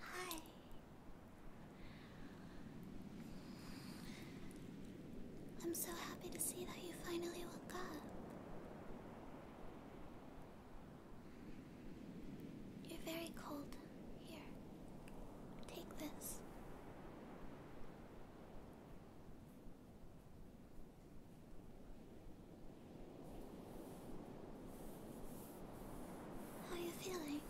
Hi. I'm so happy to see that you finally woke up. You're very cold. Here, take this. How are you feeling?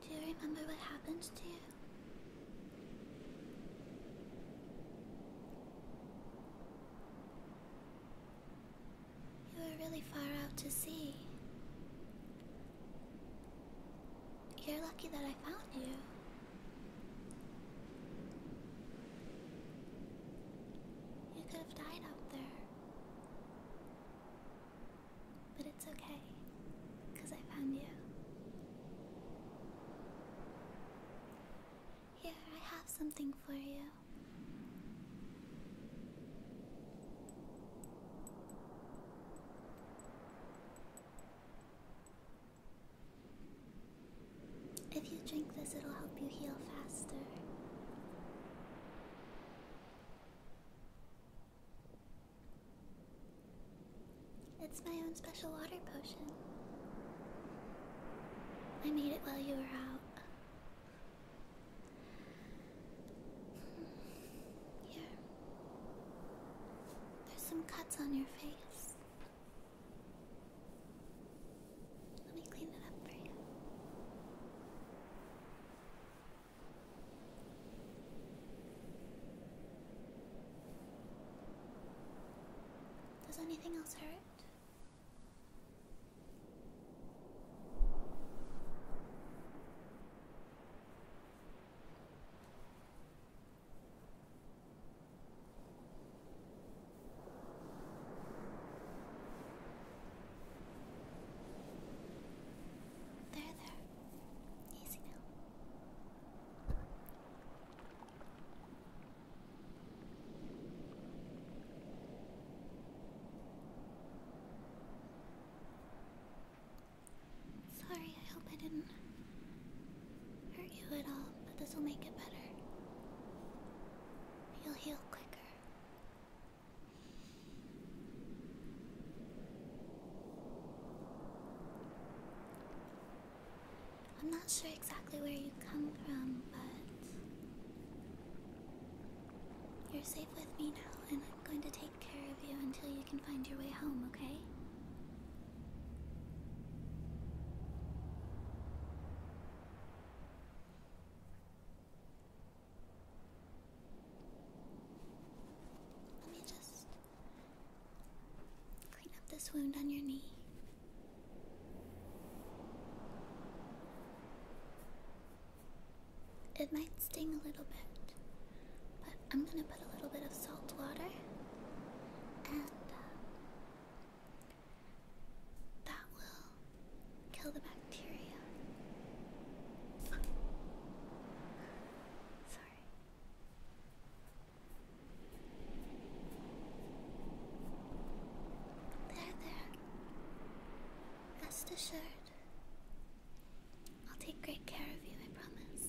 Do you remember what happened to you? You are really far out to sea. You're lucky that I found you. You could have died out there. But it's okay, because I found you. Here, I have something for you. If you drink this, it'll help you heal faster. It's my own special water potion. I made it while you were out. Here. There's some cuts on your face. Let me clean it up for you. Does anything else hurt? There, there. Easy now. Sorry, I hope I didn't hurt you at all, but this will make it better. You'll heal quicker. I'm not sure exactly where you come from, but you're safe with me now, and I'm going to take care of you until you can find your way home, okay? Let me just clean up this wound on your knee. It might sting a little bit, but I'm gonna put a little bit of salt water, and uh, that will kill the bacteria. Sorry. There, there. Rest assured. I'll take great care of you, I promise.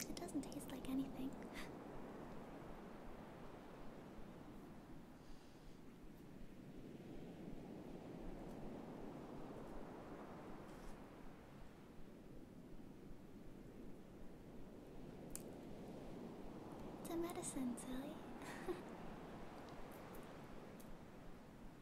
It doesn't taste like anything. It's a medicine, silly.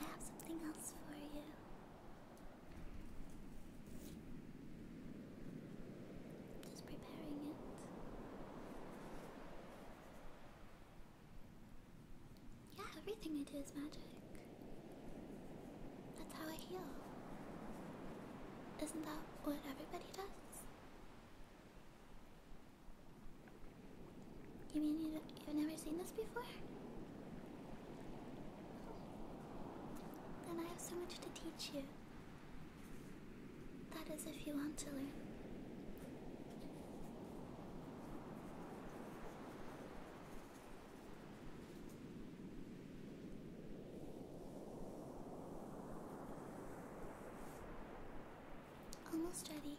I have something else for you. just preparing it. Yeah, everything I do is magic. That's how I heal. Isn't that what everybody does? You mean you have never seen this before? Then I have so much to teach you. That is, if you want to learn. Almost ready.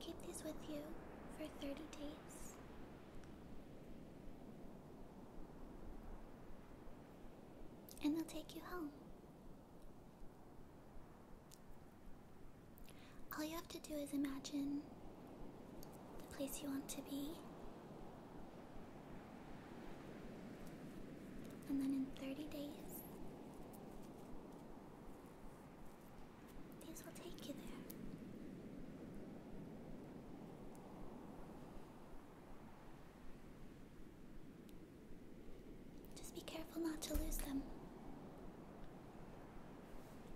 Keep these with you for 30 days. And they'll take you home. All you have to do is imagine the place you want to be. And then in 30 days, these will take you there. Just be careful not to lose them.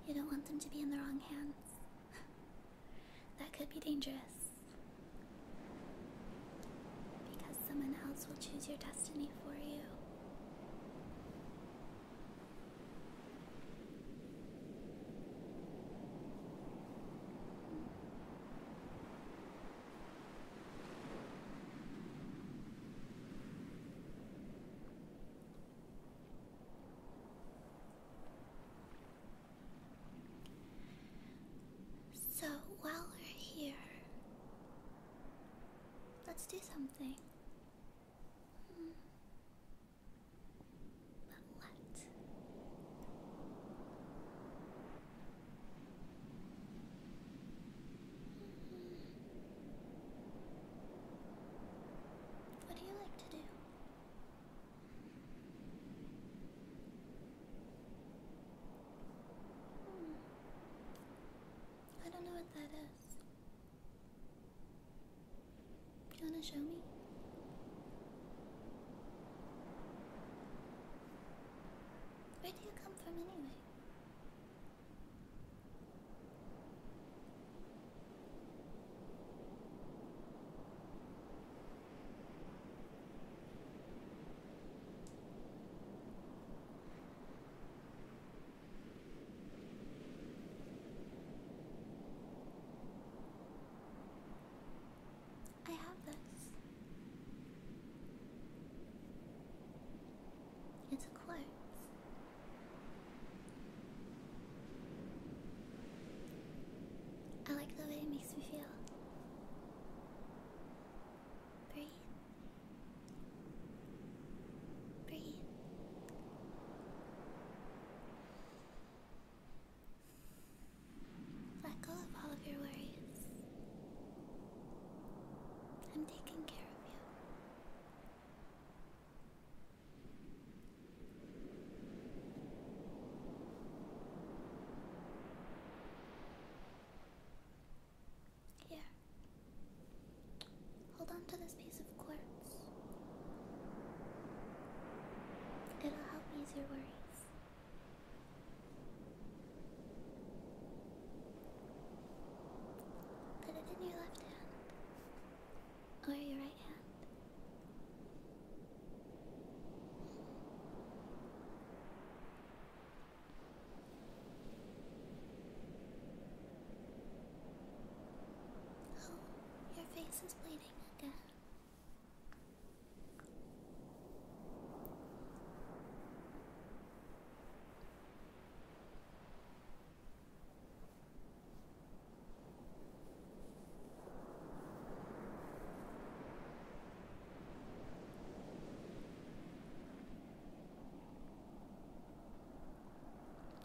You don't want them to be in the wrong hands. that could be dangerous. Because someone else will choose your destiny for you. So while we're here, let's do something. But what? What do you like to do? Hmm. I don't know what that is. You wanna show me? Where do you come from anyway? I have this. It's a quartz. I like the way it makes me feel. Breathe. Breathe. Let go of all of your worries. I'm taking care of you. Here, Hold on to this piece of quartz. It'll help ease your worries. Put it in your left hand or your right hand. Oh, your face is bleeding again.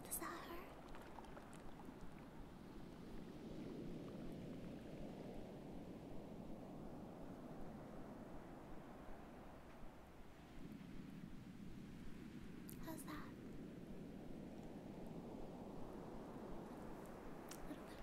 Does that hurt? How's that? A little better.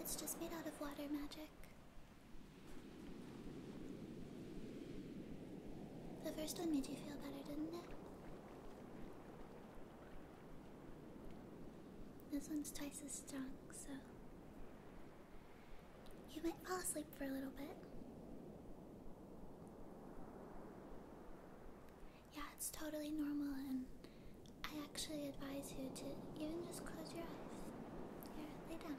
It's just made out of water magic. The first one made you feel better, didn't it? This one's twice as strong, so. You might fall asleep for a little bit. Yeah, it's totally normal and I actually advise you to even just close your eyes. Here, lay down.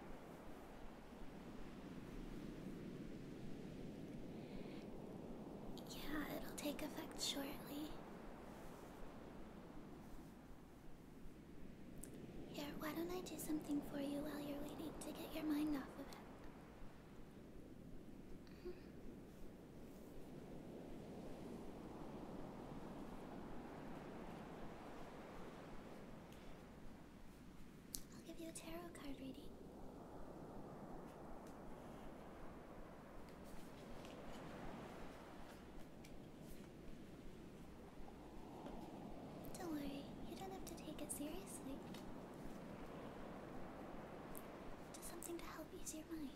Yeah, it'll take effect shortly. Here, why don't I do something for you while you're waiting to get your mind off of it? Mm-hmm. I'll give you a tarot card reading. Don't worry, you don't have to take it seriously. Just something to help ease your mind.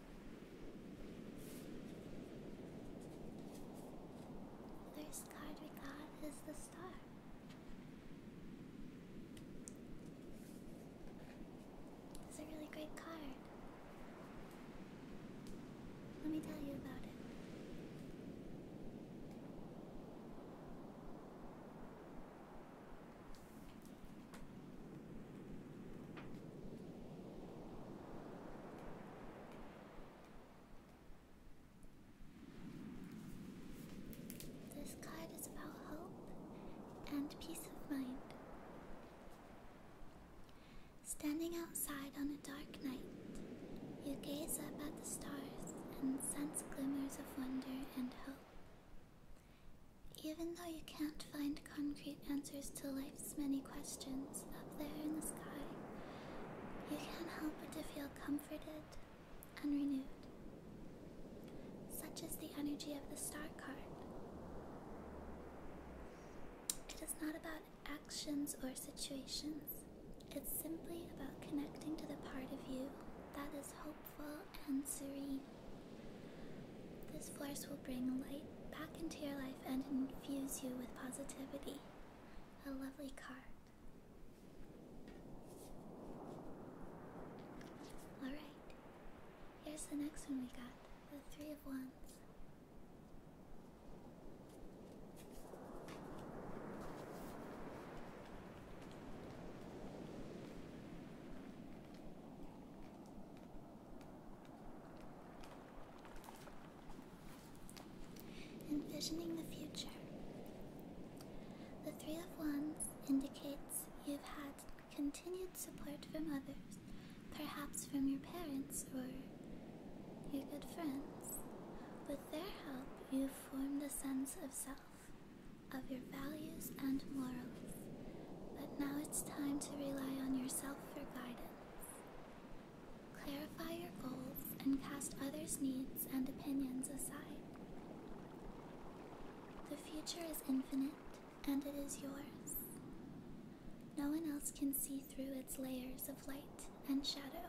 First card we got is the star. It's a really great card. Let me tell you about it. This card is about hope and peace of mind. Standing outside on a dark night, you gaze up at the stars and sense glimmers of wonder and hope. Even though you can't find concrete answers to life's many questions up there in the sky, you can't help to feel comforted and renewed. Such is the energy of the star card. It is not about actions or situations, it's simply about connecting to the part of you that is hope and serene. This force will bring light back into your life and infuse you with positivity. A lovely card. Alright, here's the next one we got the Three of Wands. Envisioning the future. The Three of Wands indicates you've had continued support from others, perhaps from your parents or your good friends. With their help, you've formed a sense of self, of your values and morals, but now it's time to rely on yourself for guidance. Clarify your goals and cast others' needs and opinions aside. The future is infinite and it is yours. No one else can see through its layers of light and shadow.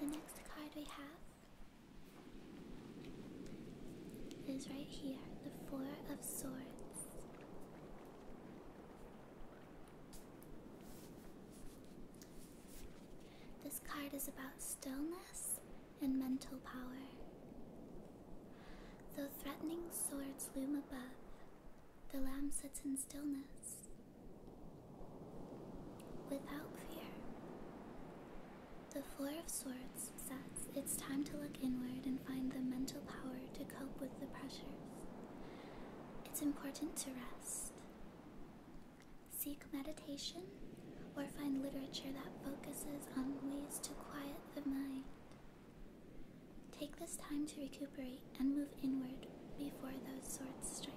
The next card we have is right here the Four of Swords. This card is about stillness and mental power. Though threatening swords loom above, the lamb sits in stillness without fear. The Four of Swords says it's time to look inward and find the mental power to cope with the pressures. It's important to rest. Seek meditation or find literature that focuses on ways to quiet the mind. Take this time to recuperate and move inward before those swords strike.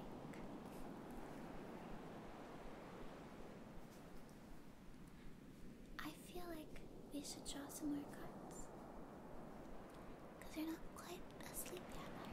I feel like we should draw some more cards. Because you're not quite asleep yet, are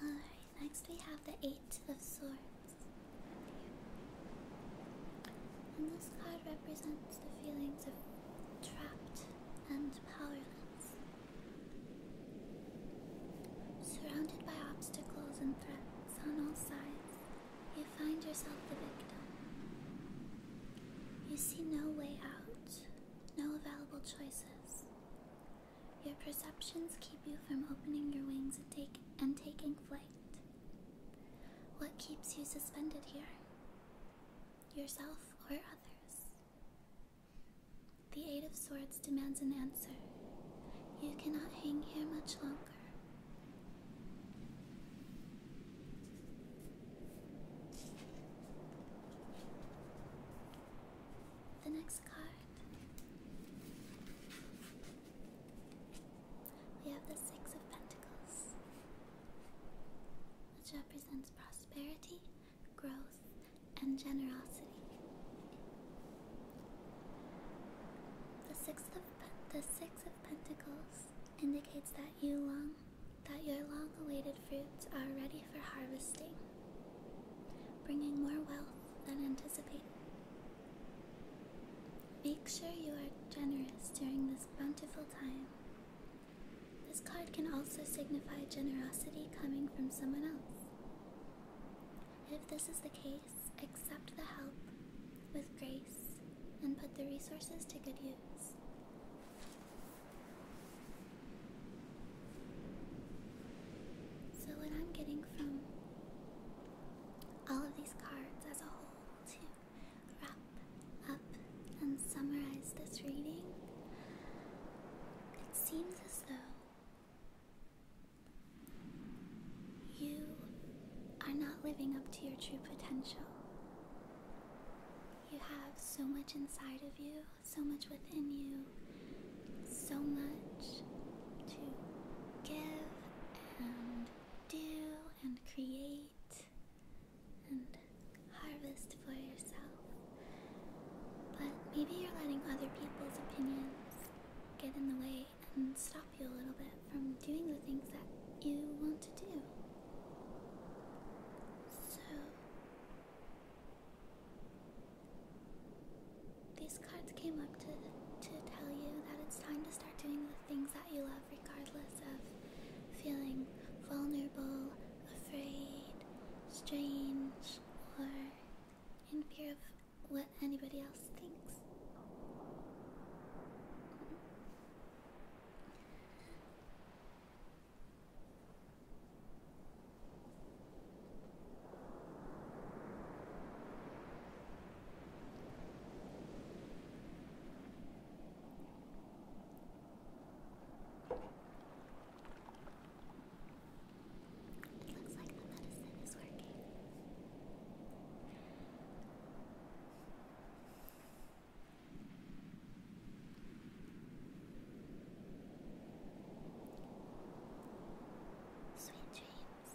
Alright, next we have the Eight of Swords. And this card represents the feelings of trapped and powerless. Surrounded by obstacles and threats on all sides, you find yourself the victim. You see no way out, no available choices. Your perceptions keep you from opening your wings and, and taking flight. What keeps you suspended here? Yourself or others? The Eight of Swords demands an answer. You cannot hang here much longer. The next card we have the Six of Pentacles, which represents prosperity, growth, and generosity. The Six of, the six of Pentacles indicates that you long that your long-awaited fruits are ready for harvesting, bringing more wealth than anticipated. Make sure you are generous during this bountiful time. This card can also signify generosity coming from someone else. If this is the case, accept the help with grace and put the resources to good use. So, what I'm getting from all of these cards as a whole to wrap up and summarize this reading. It seems as though you are not living up to your true potential. You have so much inside of you, so much within you, so much to give and do and create and harvest for yourself. But maybe you're letting other people's opinions get in the way and stop you a little bit from doing the things that you want to do. So, these cards came up to to tell you that it's time to start doing the things that you love regardless of feeling vulnerable, afraid, strange, or in fear of what anybody else thinks. It looks like the medicine is working. Sweet dreams.